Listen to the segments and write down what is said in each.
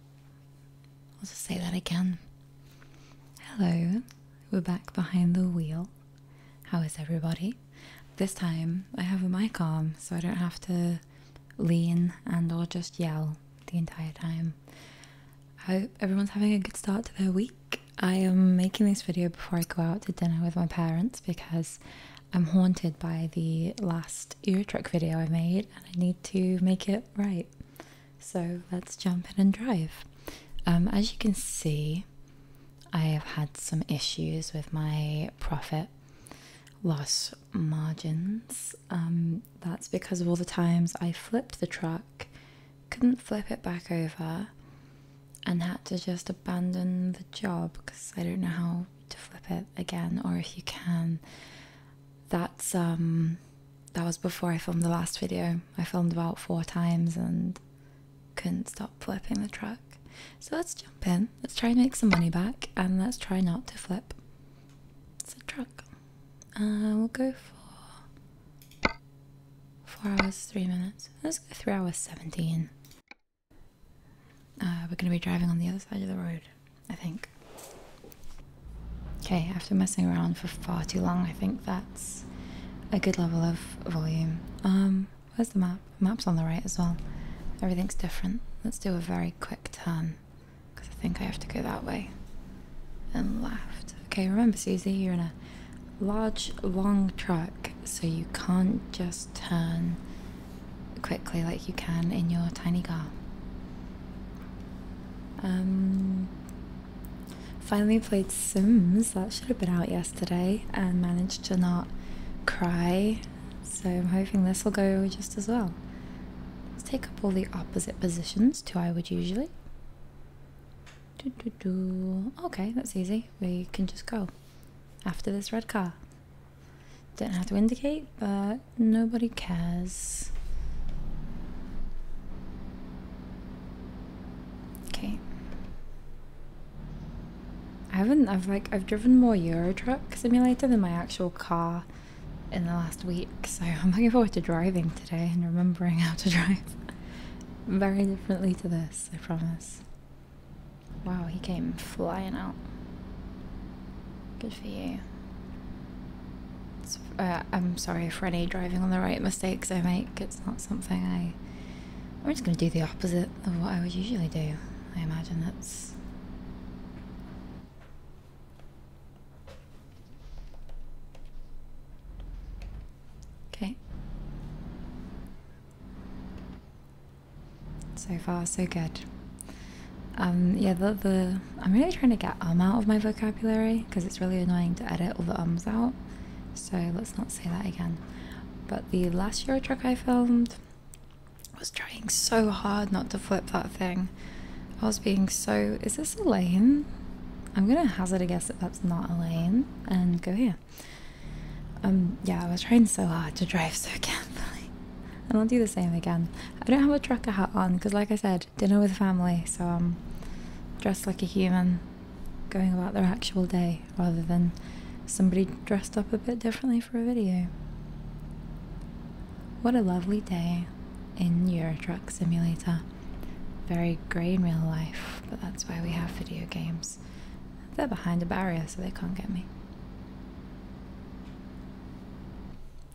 I'll just say that again. Hello, we're back behind the wheel. How is everybody? This time I have a mic arm so I don't have to lean and or just yell the entire time. I hope everyone's having a good start to their week. I am making this video before I go out to dinner with my parents because I'm haunted by the last ear truck video I made, and I need to make it right. So let's jump in and drive. Um, as you can see, I have had some issues with my profit loss margins. Um, that's because of all the times I flipped the truck, couldn't flip it back over, and had to just abandon the job because I don't know how to flip it again or if you can that's um that was before i filmed the last video i filmed about four times and couldn't stop flipping the truck so let's jump in let's try and make some money back and let's try not to flip it's a truck uh we'll go for four hours three minutes let's go three hours 17 uh, we're going to be driving on the other side of the road, I think. Okay, after messing around for far too long, I think that's a good level of volume. Um, where's the map? map's on the right as well. Everything's different. Let's do a very quick turn, because I think I have to go that way and left. Okay, remember, Susie, you're in a large, long truck, so you can't just turn quickly like you can in your tiny car. Um, finally played Sims, that should have been out yesterday, and managed to not cry, so I'm hoping this will go just as well. Let's take up all the opposite positions to I would usually. Do, do, do. Okay, that's easy. We can just go after this red car. Don't have to indicate, but nobody cares. Okay. I haven't, I've like, I've driven more Euro Truck Simulator than my actual car in the last week, so I'm looking forward to driving today and remembering how to drive very differently to this, I promise. Wow, he came flying out. Good for you. Uh, I'm sorry for any driving on the right mistakes I make. It's not something I. I'm just going to do the opposite of what I would usually do. I imagine that's. Okay. So far, so good. Um, yeah, the, I'm really trying to get um out of my vocabulary because it's really annoying to edit all the ums out. So let's not say that again. But the last Euro truck I filmed I was trying so hard not to flip that thing. I was being so. Is this Elaine? I'm gonna hazard a guess that that's not Elaine and go here. Um, yeah, I was trying so hard to drive so carefully and I'll do the same again. I don't have a trucker hat on because, like I said, dinner with family, so I'm dressed like a human going about their actual day rather than somebody dressed up a bit differently for a video. What a lovely day in Euro Truck Simulator. Very grey in real life, but that's why we have video games. They're behind a barrier so they can't get me.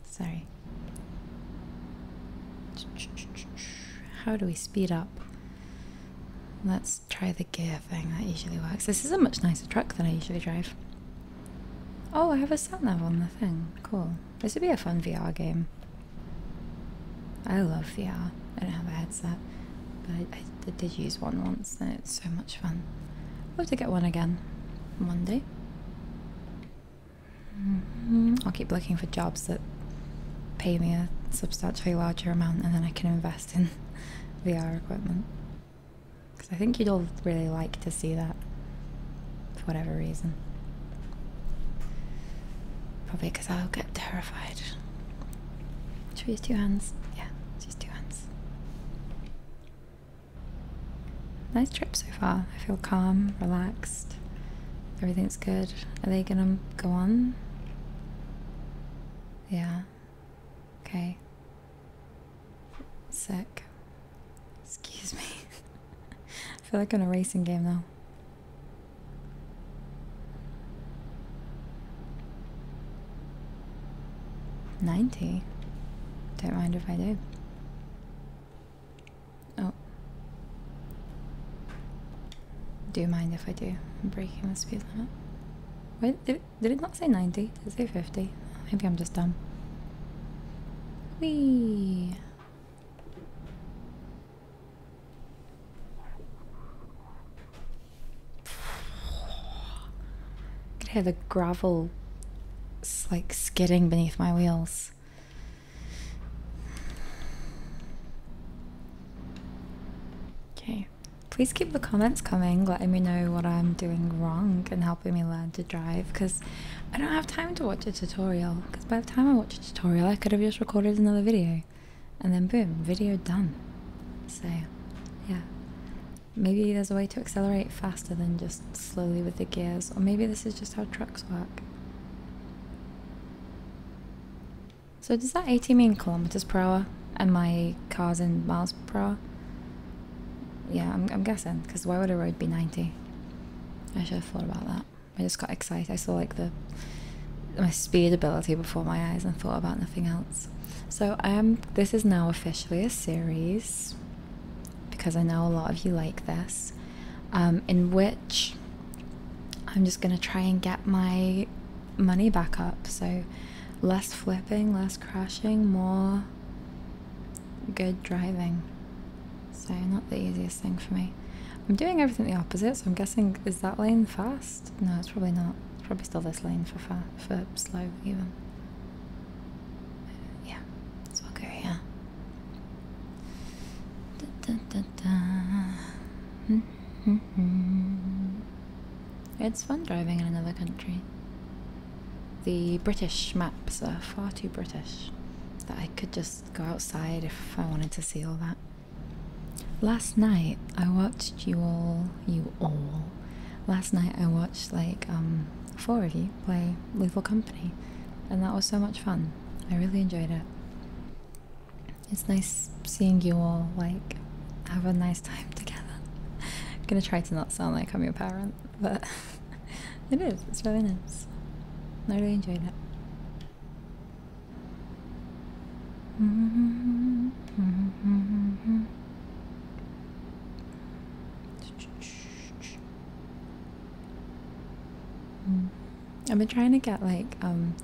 Sorry. How do we speed up? Let's try the gear thing. That usually works. This is a much nicer truck than I usually drive. Oh, I have a sat level on the thing. Cool. This would be a fun VR game. I love VR. I don't have a headset, but I, did use one once, and it's so much much fun. I hope to get one again one day. Mm-hmm. I'll keep looking for jobs that pay me a substantially larger amount and then I can invest in VR equipment. Because I think you'd all really like to see that for whatever reason. Probably because I'll get terrified. Should we two hands? Yeah, she's two hands. Nice trip so far. I feel calm, relaxed. Everything's good. Are they gonna go on? Yeah. Okay. Sick. Excuse me. I feel like I'm in a racing game now. 90? Don't mind if I do. Oh. Do mind if I do. breaking the speed limit. Wait, did, did it not say 90? Did it say 50? Maybe I'm just dumb. Whee! I could hear the gravel like skidding beneath my wheels. Okay, please keep the comments coming, letting me know what I'm doing wrong and helping me learn to drive because I don't have time to watch a tutorial. Because by the time I watch a tutorial, I could have just recorded another video and then boom, video done. So, yeah, Maybe there's a way to accelerate faster than just slowly with the gears, or maybe this is just how trucks work. So does that 80 mean kilometers per hour, and my car's in miles per hour? Yeah, I'm, I'm guessing, because why would a road be 90? I should have thought about that. I just got excited. I saw like the my speed ability before my eyes and thought about nothing else. So I um, This is now officially a series because I know a lot of you like this, um, in which I'm just gonna try and get my money back up. So less flipping, less crashing, more good driving. So not the easiest thing for me. I'm doing everything the opposite, so I'm guessing is that lane fast? No, it's probably not. It's probably still this lane for fa for slow even yeah, it's Bulgaria. Da, da, da, da. it's fun driving in another country. The British maps are far too British that I could just go outside if I wanted to see all that. Last night I watched you all you all. Last night I watched like um, four of you play Little Company, and that was so much fun. I really enjoyed it. It's nice seeing you all like have a nice time together. I'm gonna try to not sound like I'm your parent, but it is. It's really nice. I really enjoyed it. Mm. I've been trying to get like um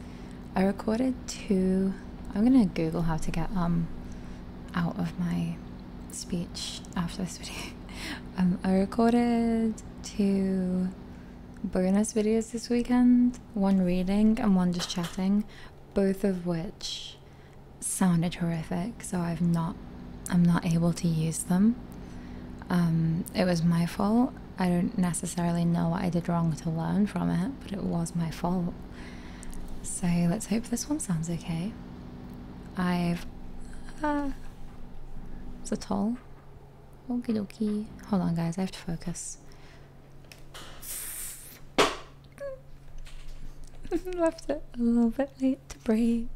I recorded two I'm gonna Google how to get um out of my speech after this video. um I recorded two bonus videos this weekend, one reading and one just chatting, both of which sounded horrific, so I've not I'm not able to use them. Um, it was my fault. I don't necessarily know what I did wrong to learn from it, but it was my fault. So let's hope this one sounds okay. I've. ah, uh, is it all? Okie dokie. Hold on, guys, I have to focus. Left it a little bit late to break.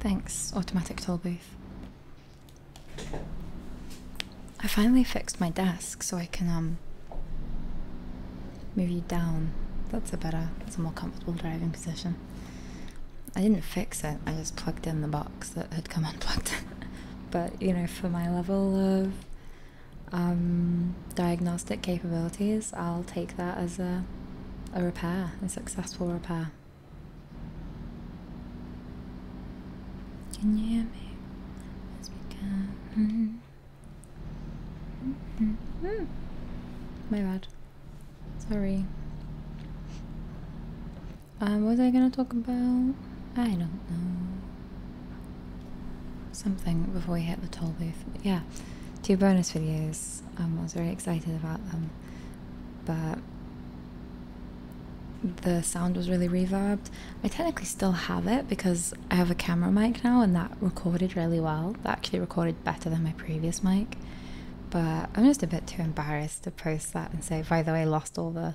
Thanks, automatic toll booth. I finally fixed my desk so I can um move you down. That's a better, that's a more comfortable driving position. I didn't fix it, I just plugged in the box that had come unplugged. but you know, for my level of um, diagnostic capabilities, I'll take that as a, a repair, a successful repair. Can you hear me? Hmm. My bad. Sorry. Um, what was I gonna talk about? I don't know. Something before we hit the toll booth. Yeah, two bonus videos. Um, I was very excited about them, but the sound was really reverbed. I technically still have it because I have a camera mic now and that recorded really well. That actually recorded better than my previous mic. But I'm just a bit too embarrassed to post that and say, by the way, lost all the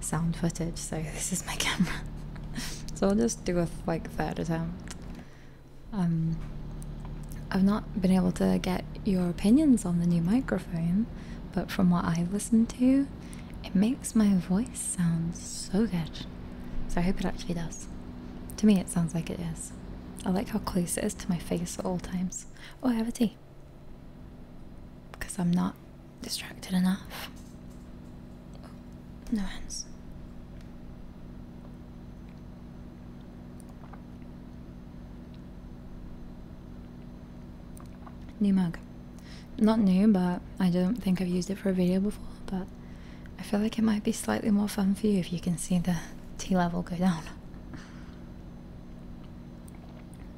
sound footage, so this is my camera. so I'll just do a like third attempt. Um, I've not been able to get your opinions on the new microphone, but from what I've listened to, it makes my voice sound so good. So I hope it actually does. To me, it sounds like it is. I like how close it is to my face at all times. Oh, I have a tea. Because I'm not distracted enough. no hands. New mug. Not new, but I don't think I've used it for a video before, but I feel like it might be slightly more fun for you if you can see the T level go down.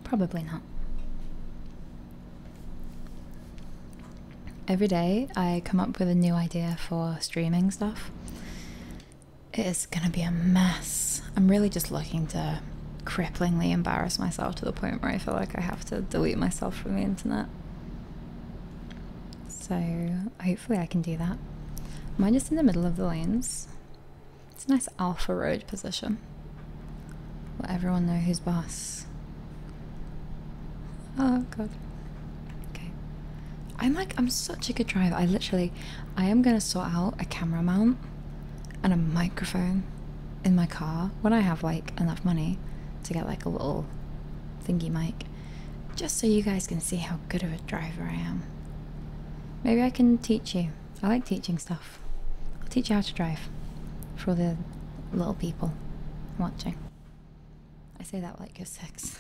Probably not. Every day I come up with a new idea for streaming stuff. It is gonna be a mess. I'm really just looking to cripplingly embarrass myself to the point where I feel like I have to delete myself from the internet. So hopefully I can do that. Mine just in the middle of the lanes. It's a nice alpha road position. Let everyone know who's boss. Oh god. Okay. I'm like I'm such a good driver. I literally I am gonna sort out a camera mount and a microphone in my car when I have like enough money to get like a little thingy mic, just so you guys can see how good of a driver I am. Maybe I can teach you. I like teaching stuff. I'll teach you how to drive for the little people watching. I say that like you're six.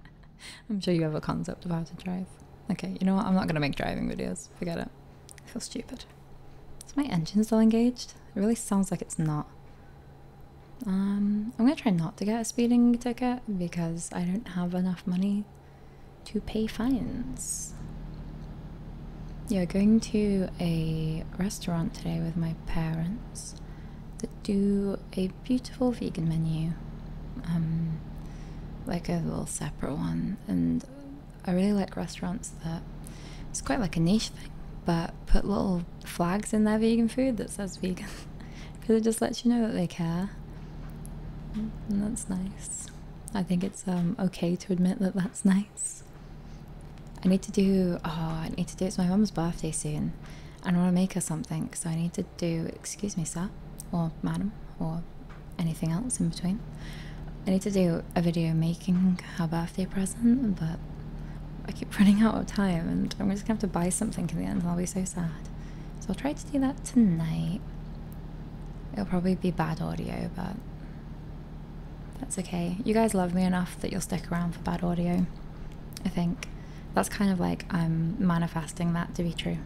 I'm sure you have a concept of how to drive. Okay, you know what? I'm not gonna make driving videos. Forget it. I feel stupid engaged? Is my engine still engaged? It really sounds like it's not. Um, I'm gonna try not to get a speeding ticket because I don't have enough money to pay fines. Yeah, going to a restaurant today with my parents that do a beautiful vegan menu. Um, like a little separate one, and I really like restaurants that it's quite like a niche thing, but put little flags in their vegan food that says vegan because it just lets you know that they care, and that's nice. I think it's um, okay to admit that that's nice. I need to do oh I need to do it's my mum's birthday soon, and I want to make her something, so I need to do excuse me sir or madam or anything else in between. I need to do a video making her birthday present, but I keep running out of time and I'm just gonna have to buy something in the end and I'll be so sad. So I'll try to do that tonight. It'll probably be bad audio, but that's okay. You guys love me enough that you'll stick around for bad audio, I think. That's kind of like I'm manifesting that to be true.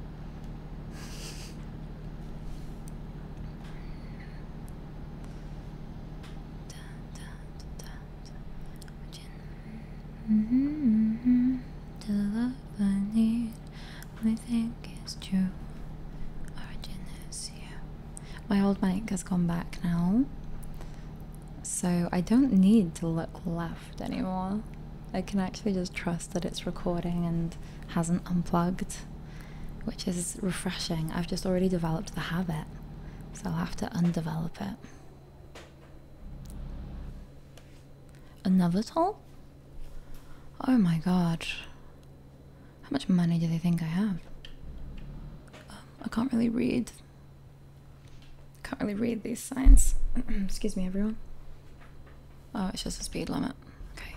My old mic has gone back now, so I don't need to look left anymore. I can actually just trust that it's recording and hasn't unplugged which is refreshing. I've just already developed the habit, so I'll have to undevelop it. Another toll? Oh my god. How much money do they think I have? Um, I can't really read. Can't really read these signs. Excuse me, everyone. Oh, it's just a speed limit. Okay.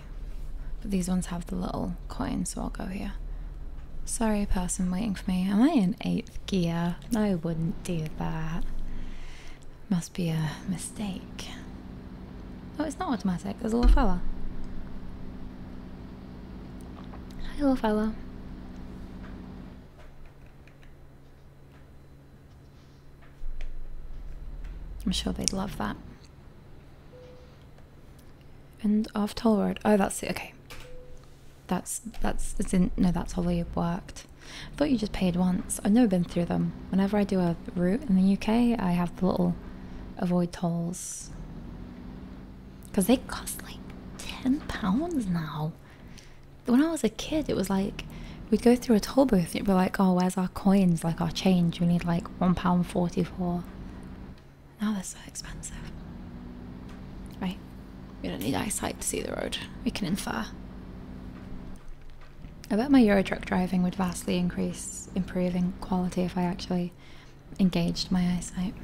But these ones have the little coin, so I'll go here. Sorry, person waiting for me. Am I in eighth gear? I wouldn't do that. Must be a mistake. Oh, it's not automatic. There's a little fella. Hi, little fella. I'm sure they'd love that. And off toll road. Oh, that's it. Okay. That's that's it's in no. That's how they worked. I thought you just paid once. I've never been through them. Whenever I do a route in the UK, I have the little avoid tolls because they cost like ten pounds now. When I was a kid, it was like we'd go through a toll booth and it'd be like, "Oh, where's our coins? Like our change? We need like one pound forty-four." Now they're so expensive. Right, we don't need eyesight to see the road, we can infer. I bet my Euro Truck driving would vastly increase improving quality if I actually engaged my eyesight.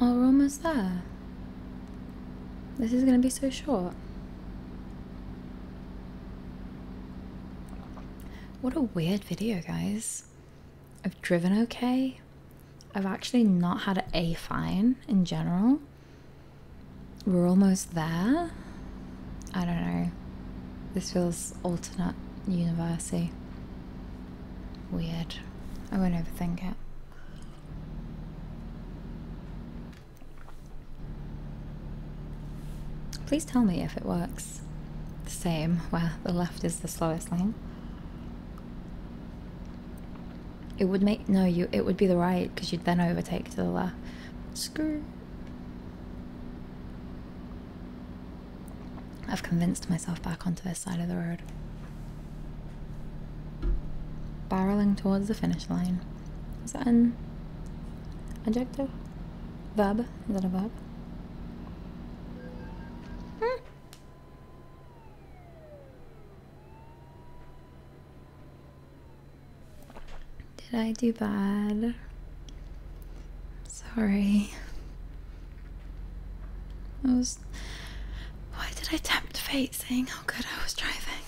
Our room is there. This is going to be so short. What a weird video, guys. I've driven okay. I've actually not had a fine in general. We're almost there. I don't know. This feels alternate university. Weird. I won't overthink it. Please tell me if it works. The same, where the left is the slowest lane. It would make no you. It would be the right because you'd then overtake to the left. Screw. I've convinced myself back onto this side of the road. Barreling towards the finish line. Is that an adjective? Verb? Is that a verb? Hmm. Did I do bad? Sorry. I was. Why did I tempt fate saying how good I was driving?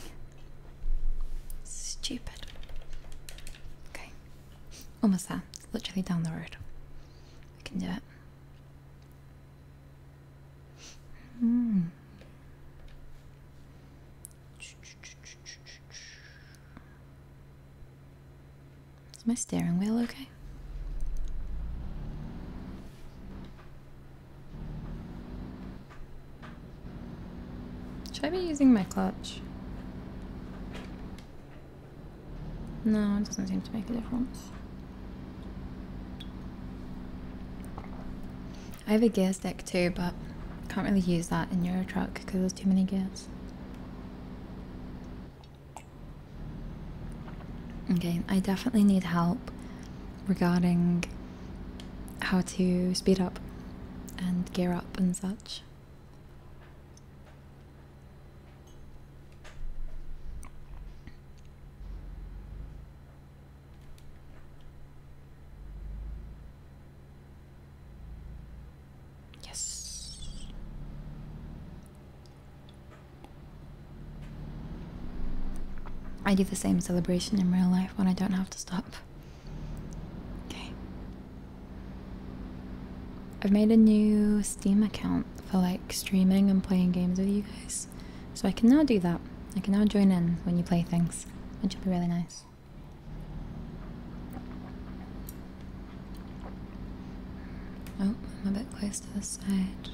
Stupid. Okay. Almost there. literally down the road. We can do it. Hmm. Is my steering wheel okay? Should I be using my clutch? No, it doesn't seem to make a difference. I have a gear stick too, but can't really use that in Euro truck because there's too many gears. Okay, I definitely need help regarding how to speed up and gear up and such. Yes. I do the same celebration in real life when I don't have to stop. Okay. I've made a new Steam account for like streaming and playing games with you guys. So I can now do that. I can now join in when you play things, which will be really nice. Oh, I'm a bit close to the side.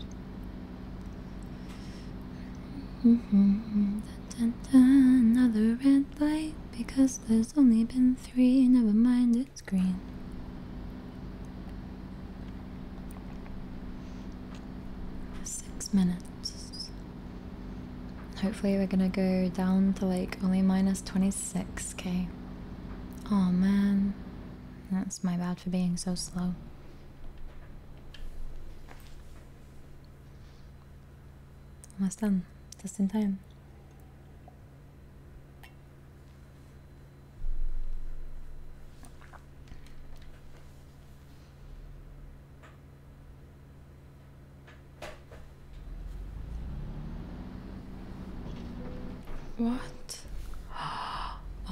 Mm -hmm. dun, dun, dun. Another red light because there's only been three. Never mind, it's green. Six minutes. Hopefully, we're gonna go down to like only minus 26k. Oh man. That's my bad for being so slow. Almost done. Just in time. What?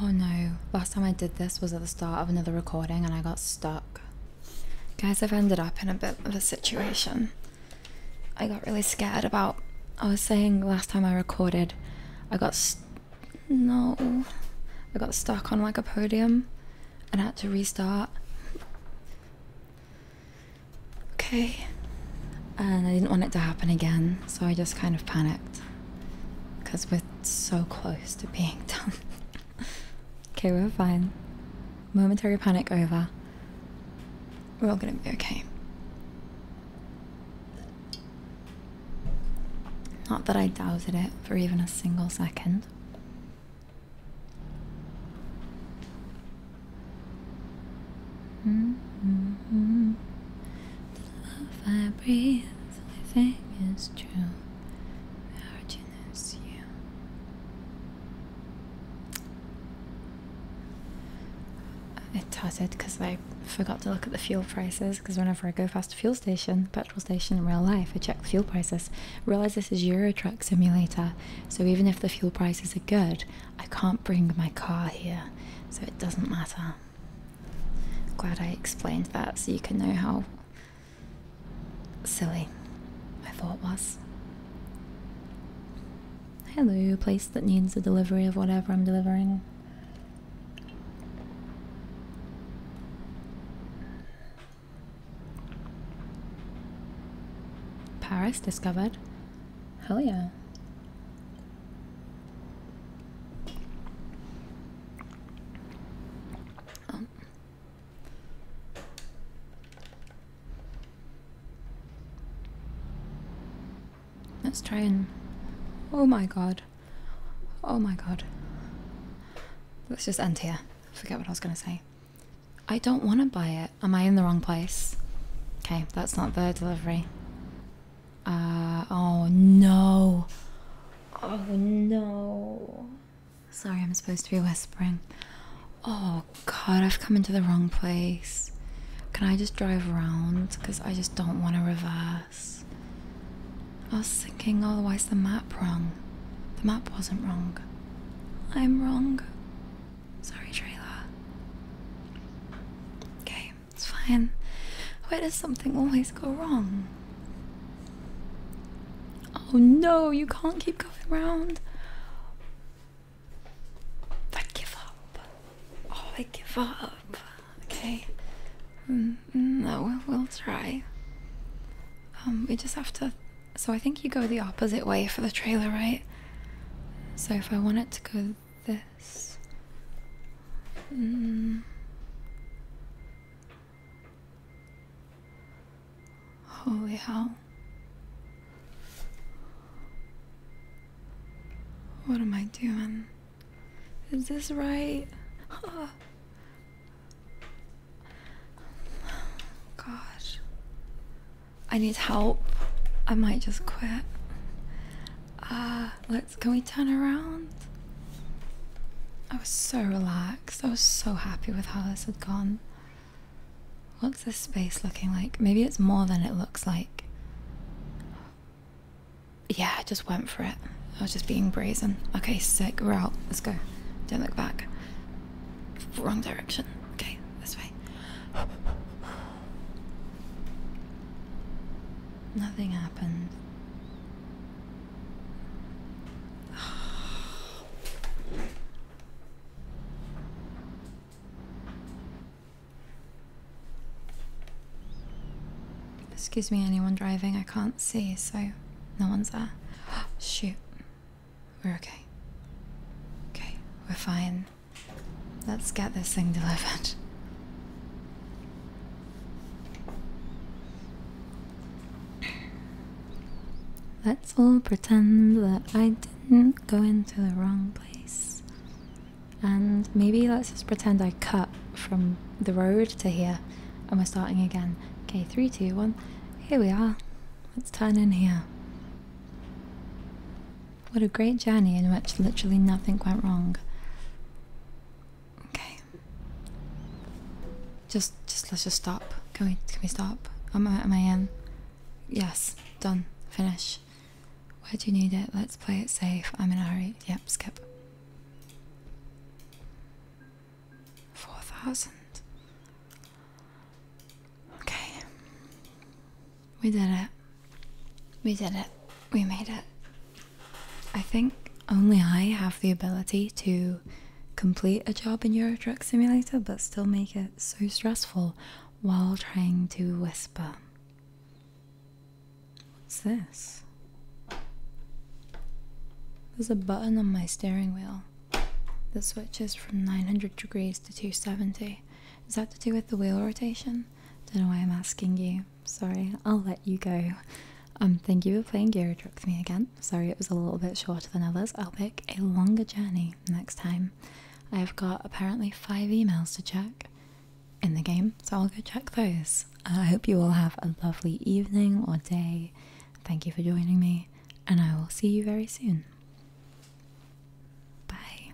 Oh no, last time I did this was at the start of another recording and I got stuck. Guys, I've ended up in a bit of a situation. I got really scared about. I was saying last time I recorded, I got. no. I got stuck on like a podium and had to restart. Okay. And I didn't want it to happen again, so I just kind of panicked because we're so close to being done. okay, we're fine. Momentary panic over. We're all gonna be okay. Not that I doubted it for even a single second. The love I breathe, I think is true. The origin you. I totted because I forgot to look at the fuel prices because whenever I go past a fuel station, petrol station in real life, I check the fuel prices. Realise this is Euro Truck Simulator, so even if the fuel prices are good, I can't bring my car here, so it doesn't matter. Glad I explained that so you can know how silly my thought was. Hello, a place that needs a delivery of whatever I'm delivering. Paris discovered. Hell yeah. Oh. Let's try and. Oh my god. Oh my god. Let's just end here. Forget what I was going to say. I don't want to buy it. Am I in the wrong place? Okay, that's not their delivery. Uh, oh no. Oh no. Sorry, I'm supposed to be whispering. Oh god, I've come into the wrong place. Can I just drive around? Because I just don't want to reverse. I was thinking, otherwise, the map wrong. The map wasn't wrong. I'm wrong. Sorry, trailer. Okay. It's fine. Where does something always go wrong? Oh no, you can't keep going round. I give up. Oh, I give up. Okay. Mm, mm, no, we'll try. Um, we just have to. So I think you go the opposite way for the trailer, right? So if I want it to go this. Mm. Holy hell. What am I doing? Is this right? Oh. Gosh. I need help. I might just quit. Ah, uh, can we turn around? I was so relaxed. I was so happy with how this had gone. What's this space looking like? Maybe it's more than it looks like. Yeah, I just went for it. I was just being brazen. Okay, sec, We're out. Let's go. Don't look back. Wrong direction. Okay, this way. Nothing happened. Excuse me, anyone driving? I can't see, so no one's there. Shoot. We're okay. Okay, we're fine. Let's get this thing delivered. Let's all pretend that I didn't go into the wrong place. And maybe let's just pretend I cut from the road to here and we're starting again. Okay, three, two, one. Here we are. Let's turn in here. What a great journey in which literally nothing went wrong. Okay. Just, just let's just stop. Can we, can we stop? I, am I in? Yes. Done. Finish. Where do you need it? Let's play it safe. I'm in hurry. Yep. Skip. Four thousand. Okay. We did it. We did it. We made it. I think only I have the ability to complete a job in Euro Truck Simulator but still make it so stressful while trying to whisper. What's this? There's a button on my steering wheel that switches from 900 degrees to 270. Is that to do with the wheel rotation? Don't know why I'm asking you sorry, I'll let you go. Um, thank you for playing Gary Truck with me again. Sorry it was a little bit shorter than others. I'll pick a longer journey next time. I have got apparently five emails to check in the game, so I'll go check those. Uh, I hope you all have a lovely evening or day. Thank you for joining me, and I will see you very soon. Bye.